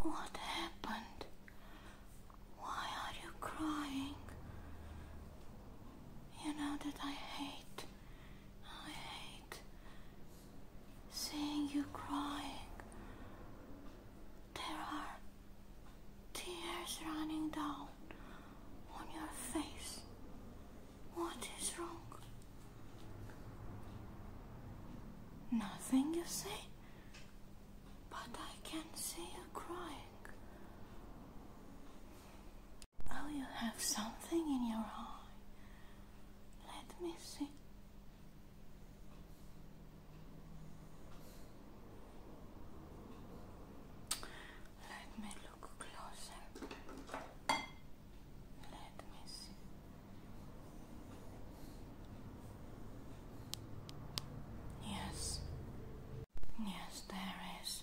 What happened? Why are you crying? You know that I hate, I hate seeing you crying. There are tears running down on your face. What is wrong? Nothing, you say? But I can see you crying. Oh, you have something in your eye. Let me see. Let me look closer. Let me see. Yes, yes, there is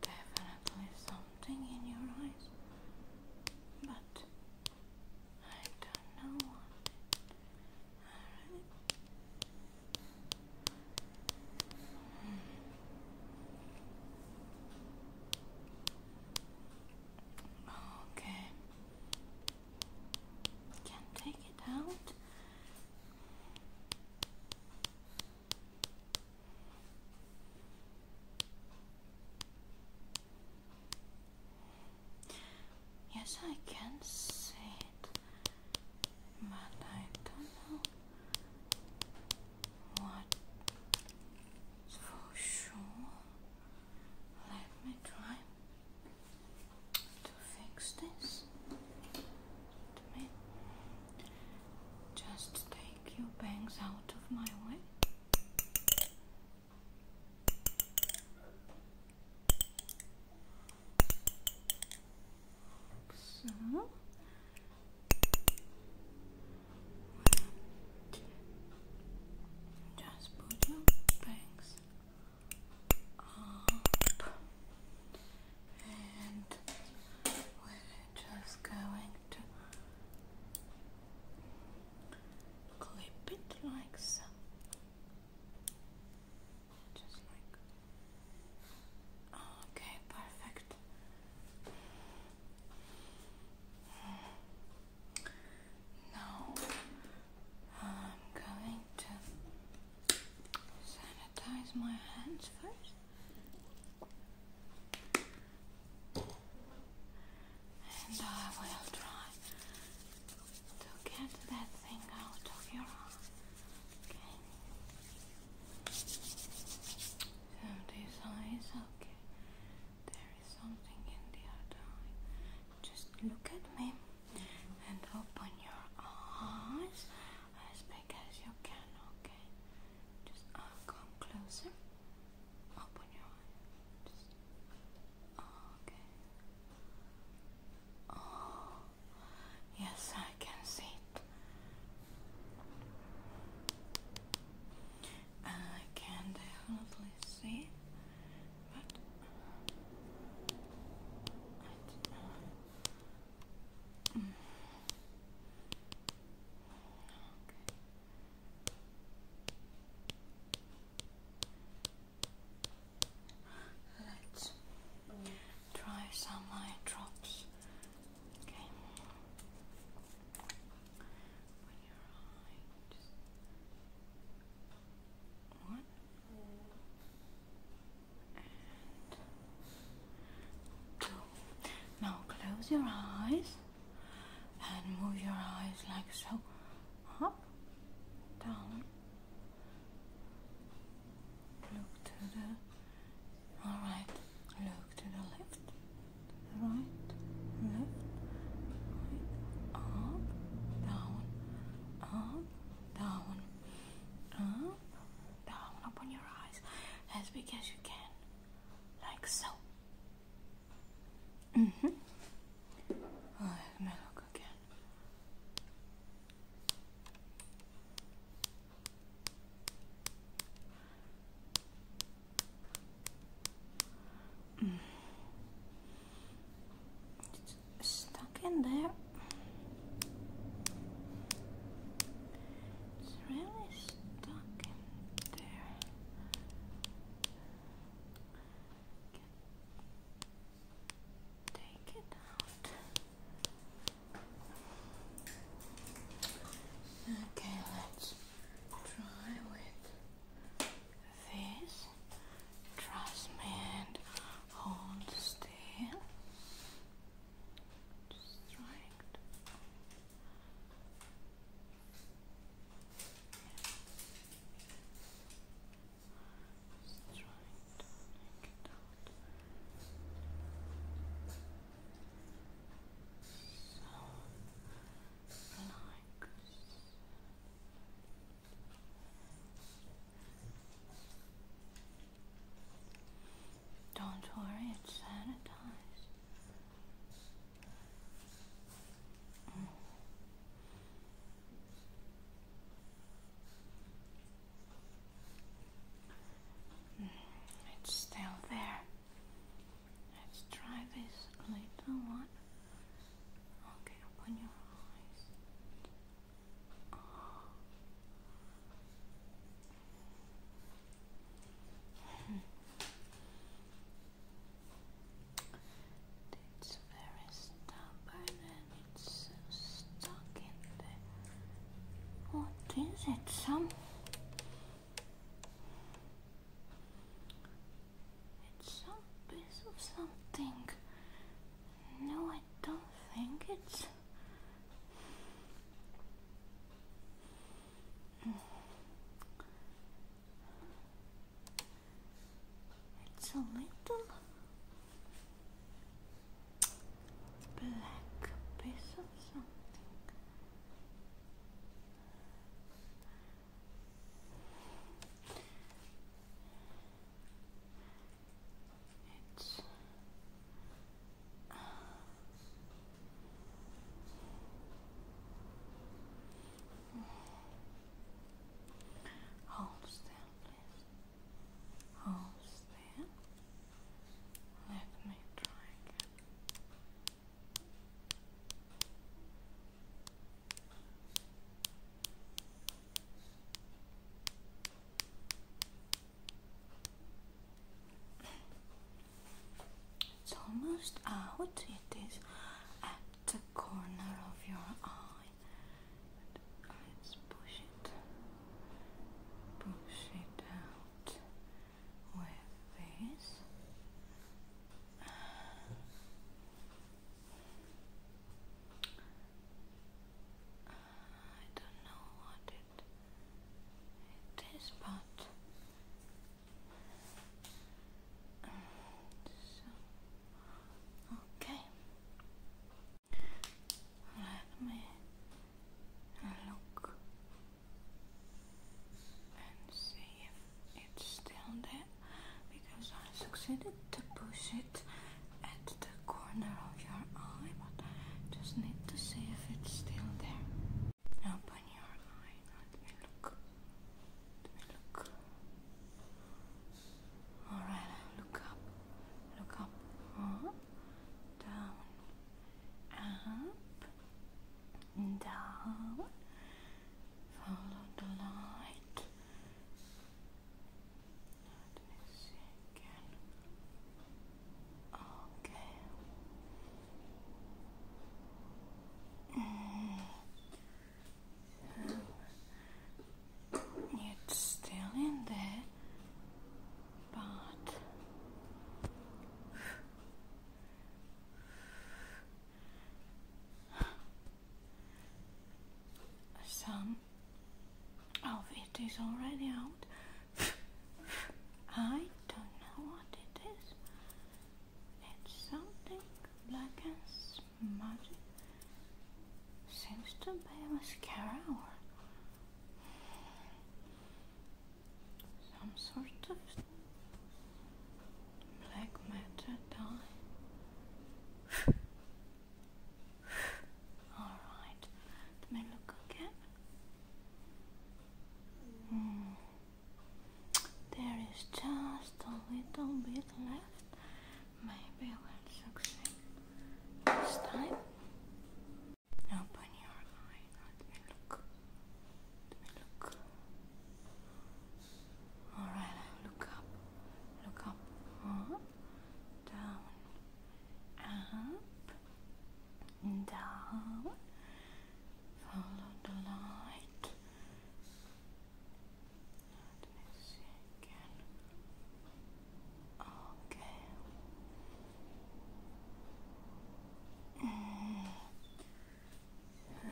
definitely something in your eyes, but I don't know Okay. Can take it out. Yes, I can see it, but I don't know what for sure. Let me try to fix this. just take your bangs out of my way. So just put your bangs up and we're just going to clip it like so. Just like okay, perfect. Now I'm going to sanitize my hands first. And I will try to get that thing out of your eye. Okay. So these eyes Okay, there is something in the other eye. Just look at me and open your eyes as big as you can. Okay, just uh, come closer. Open your eyes. okay. Oh, yes, I can see I can definitely see, but mm, Let's try some eye drops one two. Now close your eyes and move your eyes like so. Up, down. Look to the all right, look to the left, right, left, right, up, down, up, down, up, down. Open your eyes as big as you can, like so. Mm hmm. let me look again. It's stuck in there. It's really stuck in there. Take it out. Okay, let's try with this. Trust me hold still. Just try it. Just try it don't worry, it's sanitized. Mm, it's still there. Let's try this little one. Okay, open your eyes. It's very stubborn and it's what is it? Some. It's some piece of something. No, I don't think it's. It's a little black piece of something. It's Hold still, holes there. Let me try again. It's almost out, it is at the corner of your eye. But let's push it push it out with this. I don't know what it is, but okay. Let me look and see if it's still there because I succeeded to push it at the corner of your eye, but I just need to see if it's still there. Open your eye, let me look. Let me look. Alright, look up. Look up down, up, down. Follow the light. Let me see Okay. It's still in there, but some of it is already out. I don't know what it is. It's something black and smudgy. Seems to be mascara or some sort of black matter dye. Alright, let me look again. Hmm. There is just a little bit left Maybe let's succeed this time. Open your eye. Let me look. Let me look. Alright, look up. Look Up. Down. Up. Down. Follow the light. Let me see again.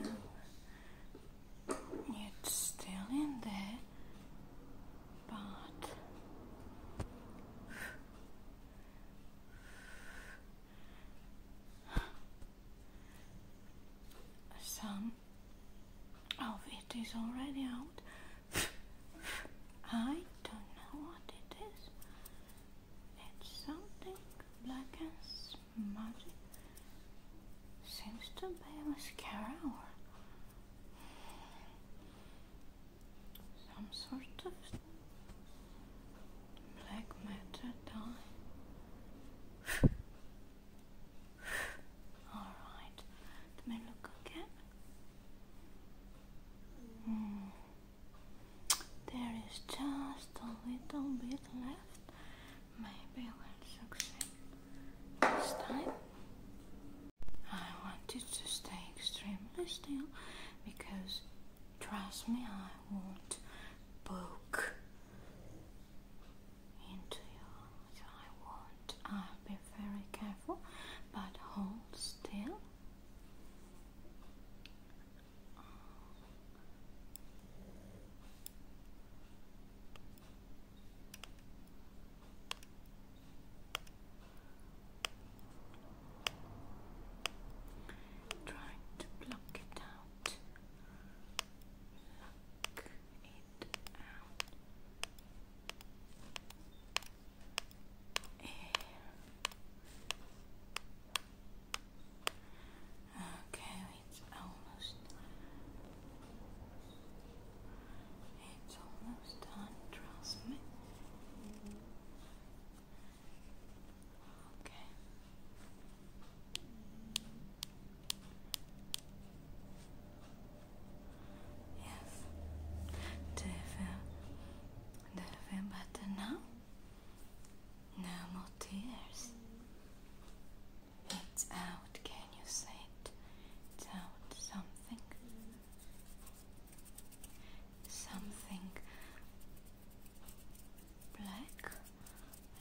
Okay. it's still in there, but some Oh, it is already out. I don't know what it is. It's something black and smudgy. Seems to be mascara or some sort of black matter dye. Alright, let me look again. Hmm. There is just a little bit left. Maybe we'll succeed this time. I want you to stay extremely still because trust me, I won't poke into your I won't I'll uh, be very careful but hold still Trying to block it out okay, it's almost it's almost done, trust me. Okay. Yes. Do you feel, now? No more tears. It's out. Can you say it? It's out. Something. Something black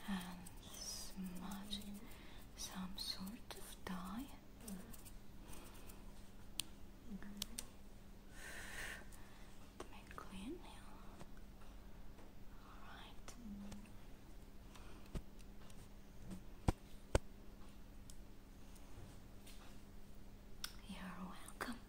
and smudgy some sort of dye. Mm -hmm. clean nail. Alright. You're welcome.